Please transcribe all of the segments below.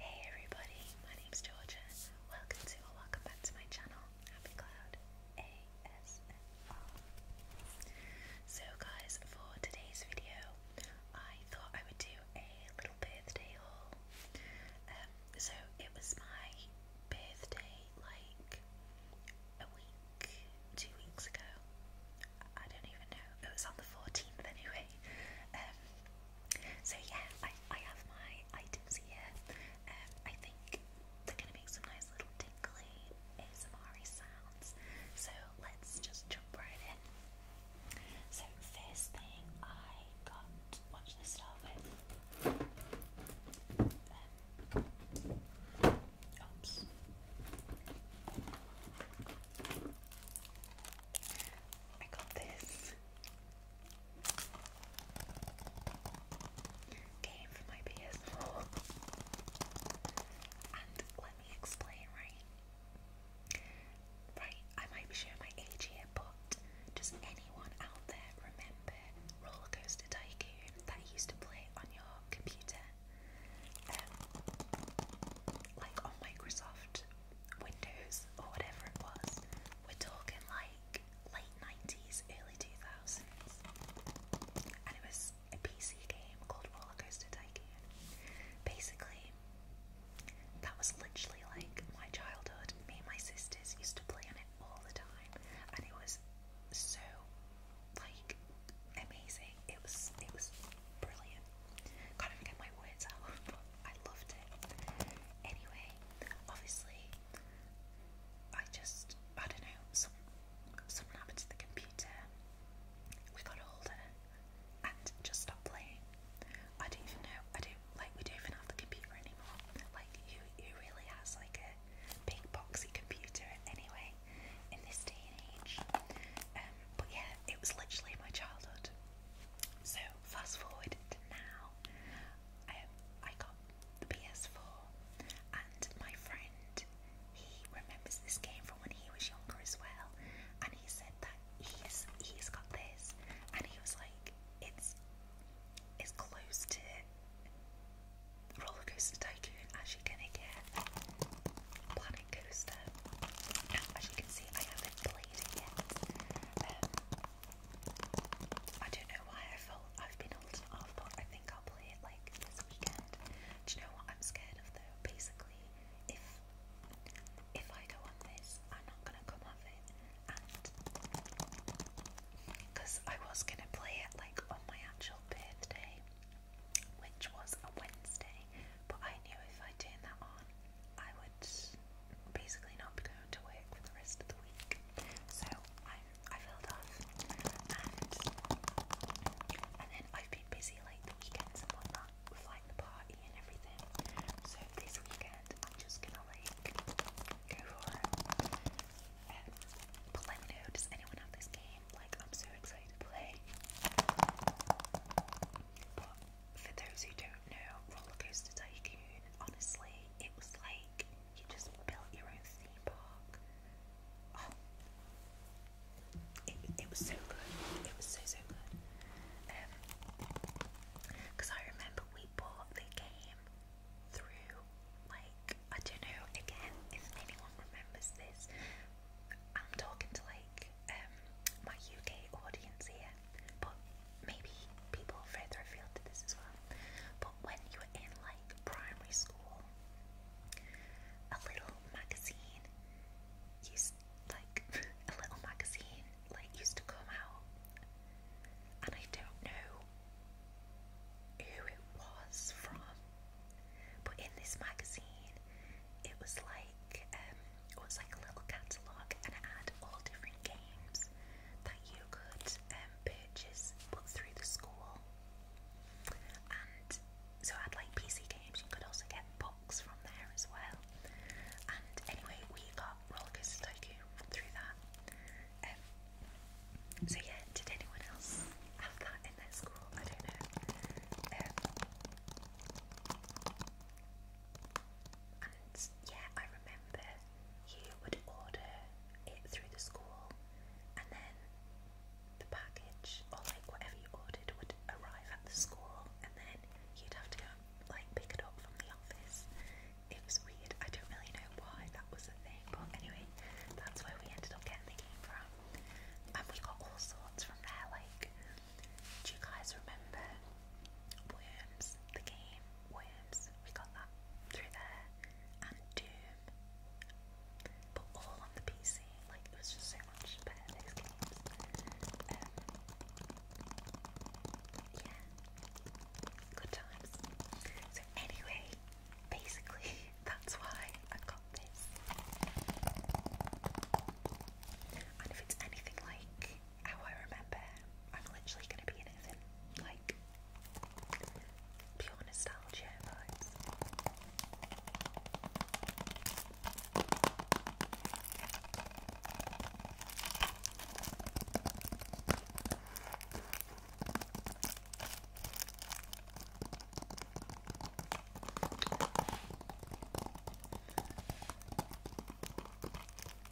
Hey everybody, my name is Georgia. Welcome to or welcome back to my channel, Happy Cloud ASMR. So guys, for today's video, I thought I would do a little birthday haul. Um, so it was my birthday like a week, two weeks ago. I don't even know. It was on the 14th anyway. Um, so yeah, I, I have my items here. Um, I think they're going to make some nice little tinkly ASMR sounds. So let's just jump right in. So first thing I got, watch this start with. Um, oops. I got this game for my PS4. and let me explain, right? Right, I might be showing my age here, but does anyone out there remember Roller Tycoon that you used to play on your computer? Um, like on Microsoft Windows or whatever it was. We're talking like late 90s, early 2000s. And it was a PC game called Roller Coaster Tycoon. Basically, that was literally like my childhood. Me and my sisters used to play on it all the time, and it was so like amazing. It was it was brilliant. Can't get my words out. I loved it. Anyway, obviously, I just, I don't know, some, something happened to the computer. We got older and just stopped playing. I don't even know, I don't, like, we don't even have the computer anymore. Like, who, who really has, like, a big boxy computer anyway in this day and age? Um, but yeah, it was literally my childhood. So fast forward to now, um, I got the PS4, and my friend he remembers this game from when he was younger as well, and he said that he's he's got this, and he was like, it's it's close to Roller Coaster Tycoon as you're gonna get. Planet Coaster. Now, as you can see, I haven't played it yet. Um, I don't know why I felt I've been holding off, but I think I'll play it like this weekend. Do you know what I'm scared of though? Basically, if if I go on this, I'm not gonna come off it, because I was gonna play it like on my actual birthday, which was a Wednesday, but I knew if I turned that on, I would basically not be going to work for the rest of the week. So I I filled off and and then I've been busy like the weekends and whatnot with like the party and everything. So this weekend I'm just gonna like go for it. Um, does anyone have this game? Like I'm so excited to play for those who don't know, Roller Tycoon, honestly, it was like you just built your own theme park. Oh. it, was so good. It was so, so good. Because um, I remember we bought the game through, like, I don't know, again, if anyone remembers this, I'm talking to, like, um, my UK audience here, but maybe people further afield did this as well. But when you were in like primary school, a little magazine used like a little magazine like used to come out, and I don't know who it was from, but in this magazine, it was like um, it was like a little catalog, and it had all different games that you could um, purchase, but through the school. And so I had like PC games. You could also get books from there as well. And anyway, we got Rollercoaster Tycoon through that. Um, so yeah, did anyone else have that in their school? I don't know. Um, yeah, I remember you would order it through the school, and then the package or like whatever you ordered would arrive at the school, and then you'd have to go like pick it up from the office. It was weird. I don't really know why that was a thing, but anyway, that's where we ended up getting the game from. And we got all sorts from there. Like, do you guys remember Worms, the game? worms, we got that through there, and Doom. But all on the PC, like it was just so much better these games. Um, yeah, good times. So anyway, basically that's why I got this. And if it's anything like how I remember. I'm literally gonna be in it in like pure nostalgia vibes.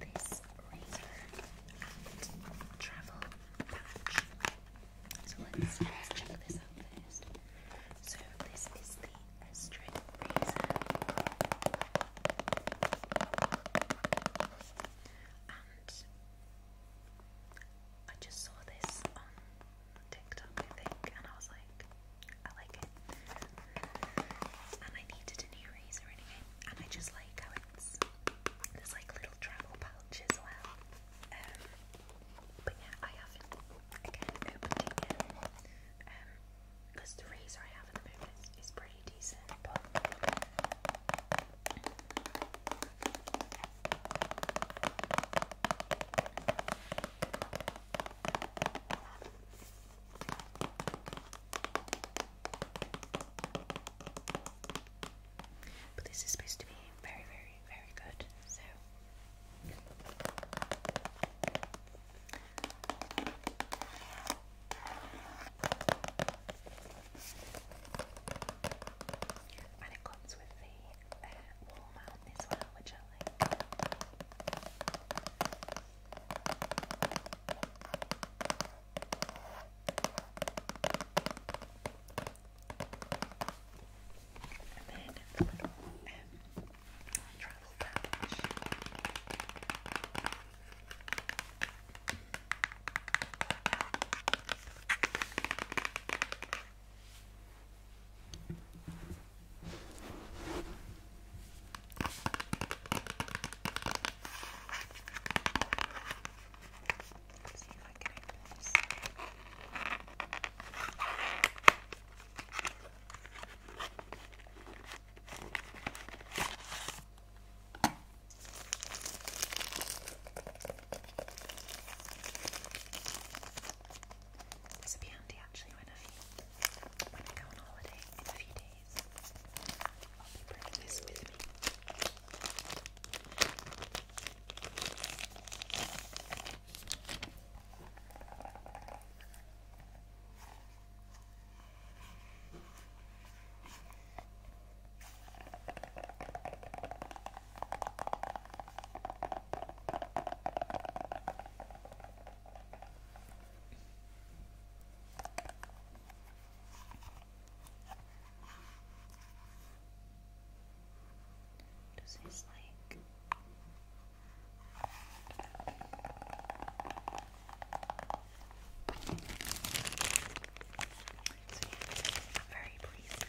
this razor and travel patch. So let's, let's check this out first. So this is the Estrid razor, and I just saw this on TikTok, I think, and I was like, I like it, and I needed a new razor anyway, and I just like how bags. There's like little travel pouch as well. Um, but yeah, I haven't again opened it yet. Um, because the razor I have at the moment is pretty decent, but. But this is supposed to be very, very, very good, so. And it comes with the uh, wall mount as well, which I like. And then the uh, little um, travel pouch. Let's see actually when I when I go on holiday in a few days these. I'll be bringing this with me. I this is like very pleased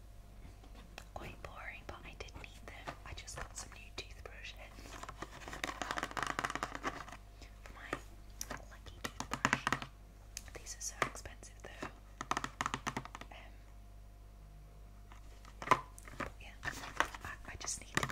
Quite boring, but I did need them. I just got some new toothbrushes my lucky toothbrush. These are so expensive though. Um, yeah, I, just needed these.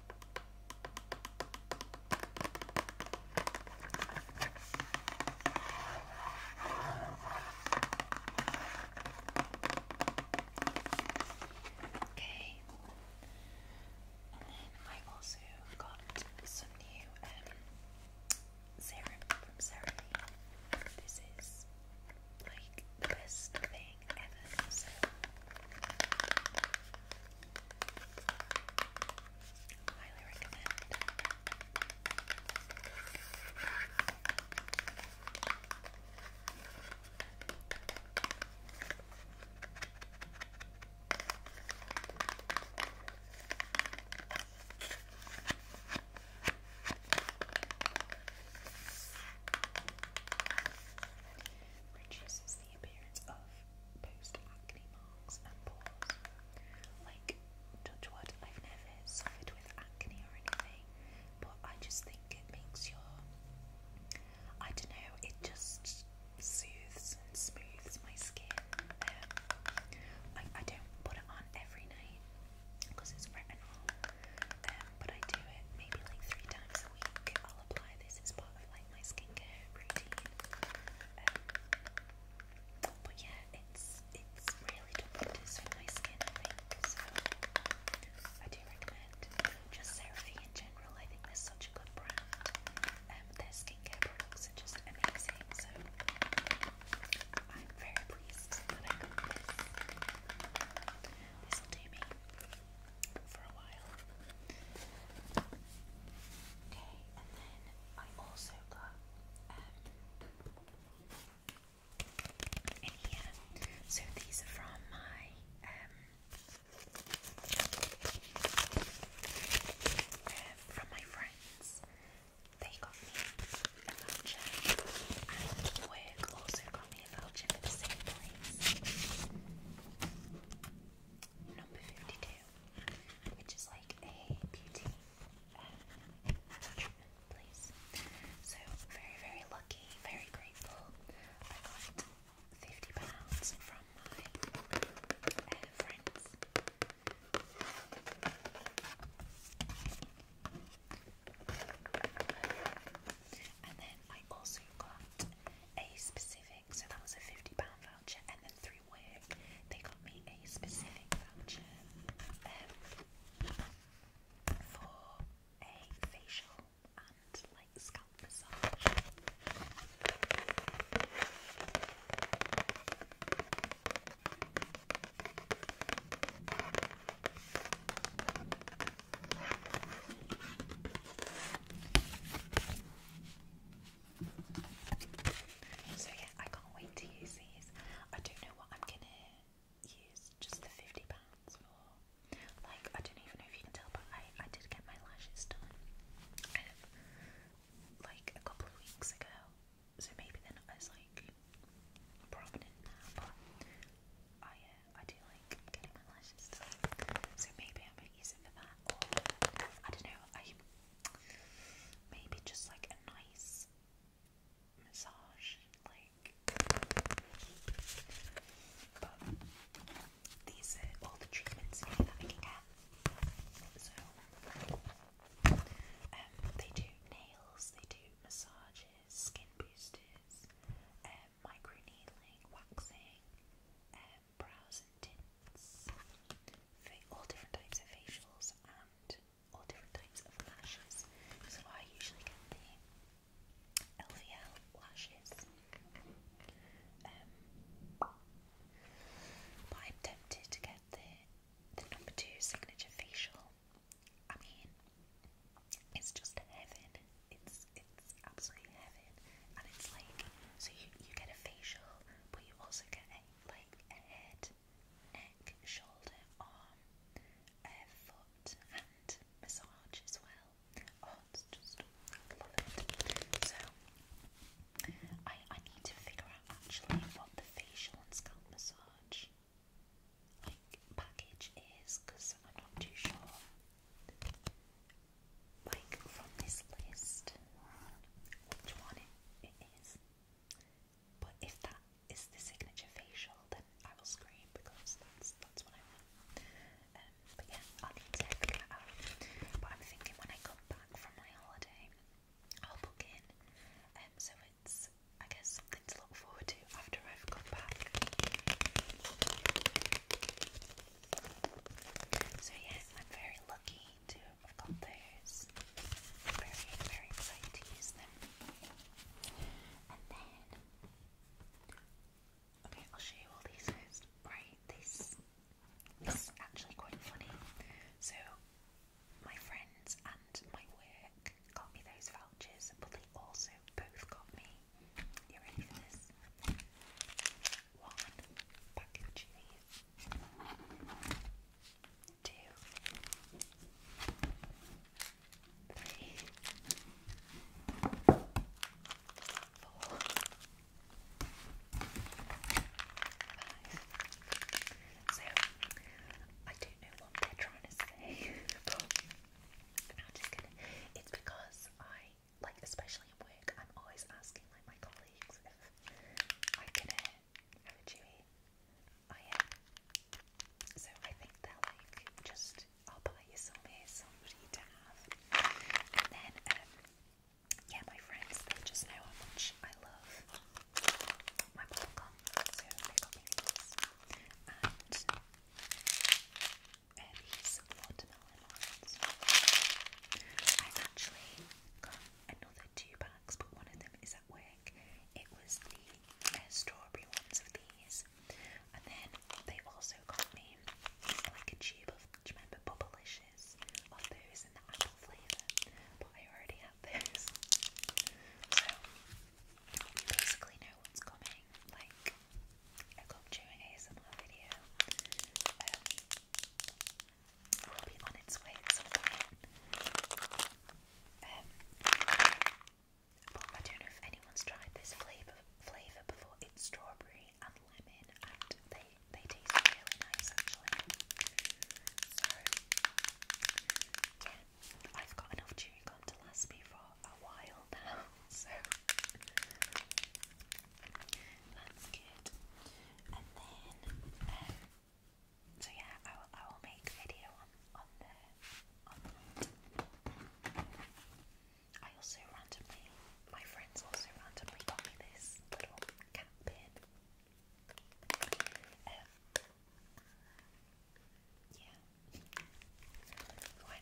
Okay, and then I also got some new um, serum from Cerave. This is like the best thing Evans. Highly recommend reduces the appearance of post-acne marks and pores. Like, touch wood, I've never suffered with acne or anything, but I just think it makes your, I don't know, it just soothes and smooths my skin. Um, I, don't put it on every night because it's retinol, um, but I do it maybe like three times a week. I'll apply this as part of like my skincare routine. Um, but yeah, it's it's really good for my skin, So I do recommend just CeraVe in general. I think they're such a good brand. Um, their skincare products are just amazing. So I'm very pleased that I got this. This will do me for a Okay, and then I also got um, So these are from my um, uh, from my friends. They got me a lunch and work also got me if Number 52, which is like a beauty um, uh, treatment place. So, very, very lucky, very grateful. I got £50 pounds from my uh, friends and then I also got a specific, so that was a £50 voucher, and then through work they got me a specific voucher um, for a facial and like scalp massage. So yeah, I can't wait to use these. I don't know what I'm gonna use just the fifty pounds for. Like I don't even know if you can tell, but I I did get my lashes done like a couple of weeks ago, so maybe they're not as like prominent now. But I uh, I do like getting my lashes done, so maybe I might use it for that. I don't know. I maybe just like a nice massage, like. But these are all the treatments that I can get. So um, they do nails, they do massages, skin boosters, um, microneedling, waxing, brows and tints, all different types of facials and all different types of lashes. So I usually get the LVL lashes. Um, but I'm tempted to get the the number two signature facial. I mean, it's just heaven it's it's absolutely heaven, and it's like so you you get a facial, but you also get a, like a head, neck, shoulder, arm, foot, and massage as well. Oh, just love it. So I I need to figure out actually what the facial and scalp massage like package is because I'm not too sure like from this list which one it is. But if that is the signature facial, then I will scream because that's that's what I want. Um, yeah, I'll need to figure that out. But I'm thinking when I come back from my holiday, I'll book in. Um, so it's I guess something to look forward to after I've come back. So yeah, I'm very lucky to have got those. very, very excited to use them. And then, okay, I'll show you all these first. Right, this is actually quite funny. So, my friends and my work got me those vouchers, but they also both got me you So, I don't know what they're trying to say, I'm just gonna. It's because I like especially at work, I'm always asking like my colleagues if I can uh, have a chewy. I am. So I think they're like just I'll buy you some here, somebody to have. And then um, yeah, my friends they just know how much I love my popcorn, these watermelon ones. I actually got another two packs, but one of them is at work. It was the uh, strawberry ones of these, and then they also got me like a tube of, remember Bubblicious? Of those in the apple flavour, but I already had those. So, we basically know what's coming, like, a cock chewing ASMR video. Um, will be on its way at Um, but I don't know if anyone's tried this flavour flavour before. It's strawberry and lemon, and they they taste really nice actually. So yeah, I've got enough chewing gum to last me for a while now. So that's good. And then, um, so yeah, I will, I will make a video on, on the, I also randomly, my friends also randomly got me this little cat pin. Um, yeah. When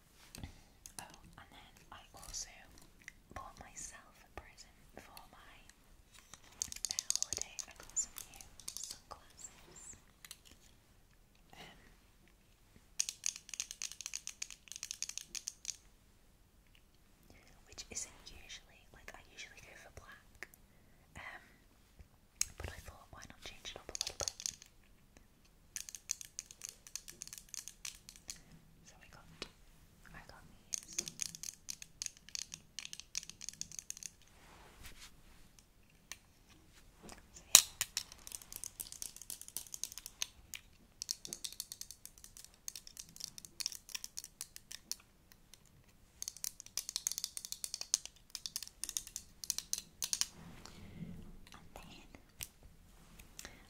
Oh, and then I also bought myself a present for my holiday. I got some sunglasses. Um, which isn't usually like I usually go for black. Um but I thought why not change it up a bit? So we got, I got these. And then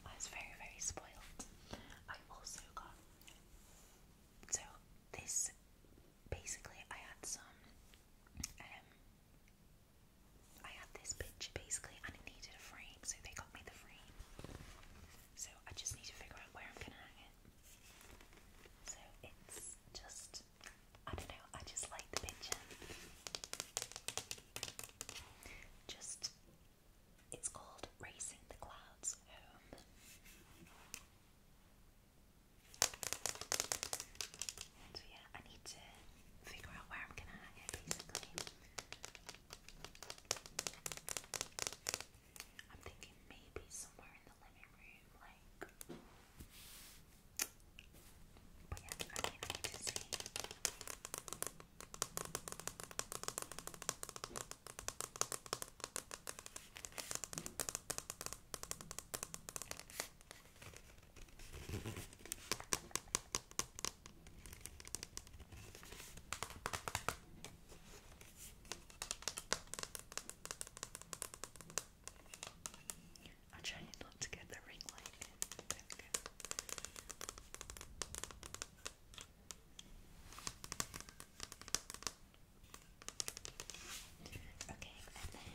I was very, very spoiled. I also got so this basically I had some um I had this picture basically and it needed a frame, so they got me the frame. So I just need to figure out where I'm gonna hang it. So it's just I don't know, I just like the picture. Just, it's called Racing the Clouds Home. yeah, I need to figure out where I'm gonna hang it basically. I'm thinking maybe somewhere in the living room, like but yeah, I can't wait to see. I'm trying not to get the ring light in. Okay, and then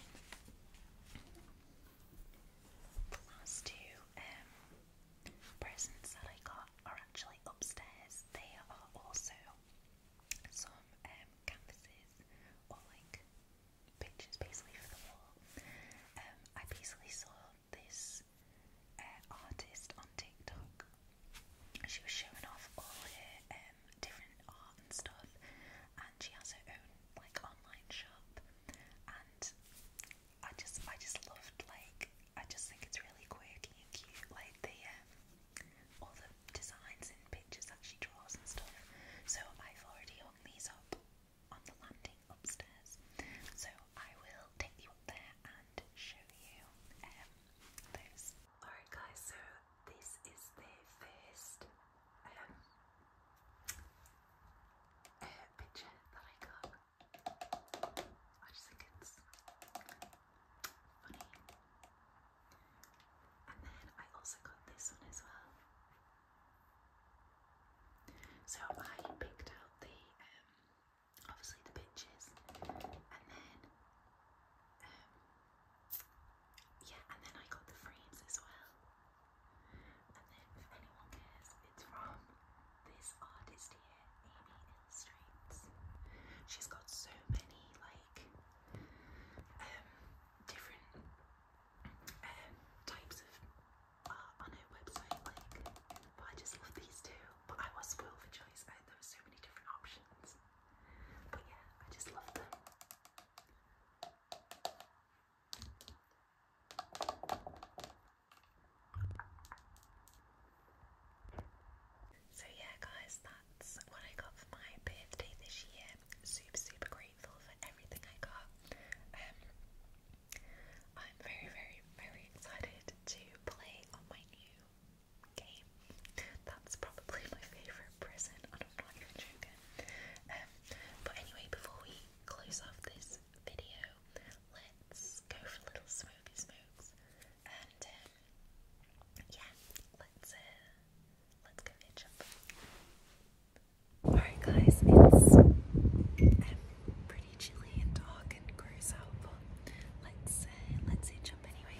two um, presents that I got are actually upstairs. They are also some um, canvases or like pictures basically for the wall. Um, I basically saw this uh, artist on TikTok. She was showing off all her um, different art and stuff, and she has her own like online shop. And I just, I just loved like, I just think it's really quirky and cute. Like the um, all the designs and pictures that she draws and stuff. So I've already hung these up on the landing upstairs. So I will take you up there and show you um, Alright guys, so this is the first um, uh, picture that I got. I just think it's funny. And then I also got this one as well. So I picked out the um, obviously the pictures and then um, yeah and then I got the frames as well. And then if anyone cares, it's from this artist here, Amy Illustrates. She's got so many like um, different types of uh, on her website, like, but I just love these two. But I was spoiled for choice. I, there were so many different options. But yeah, I just love them. So yeah guys, that's what I got for my birthday this year. Super super grateful for everything I got. Um, I'm very, very, very excited to play on my new game. That's probably my favourite present. I'm not even joking. Um, but anyway, before we close off this video, let's go for a little smoky smokes, and um, yeah, let's uh, let's go hitch up. Alright guys, it's pretty chilly and dark and gross out, but let's, uh, let's hitch up anyway.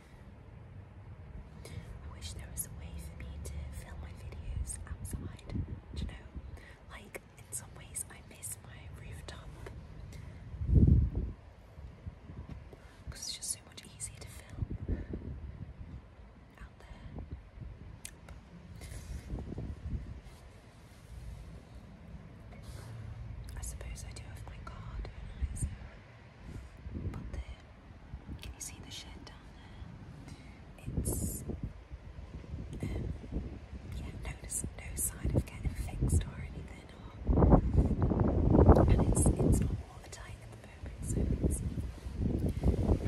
I wish there was a way for me to film my videos outside, you know? Like, in some ways, I miss my rooftop because it's just so much easier to film out there. I suppose I do have my card, uh, can you see the shed down there? It's um, yeah, there's no sign of getting fixed or anything, and it's it's not watertight at the moment, so it's not really doable.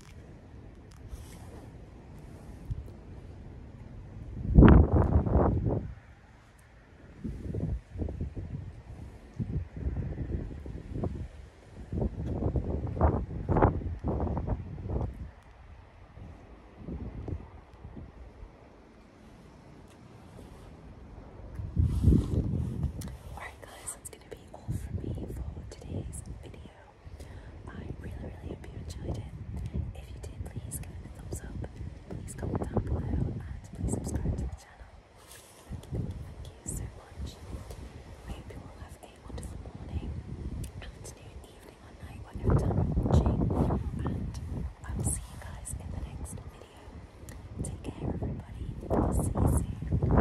Alright guys, let's going be all from me for today's video. I really, really hope you enjoyed it. If you did, please give it a thumbs up. Please comment down below and please subscribe to the channel. Thank you, so much. I hope you all have a wonderful morning, afternoon, evening, or night, whenever time you're watching. And I will see you guys in the next video. Take care, everybody. see you soon.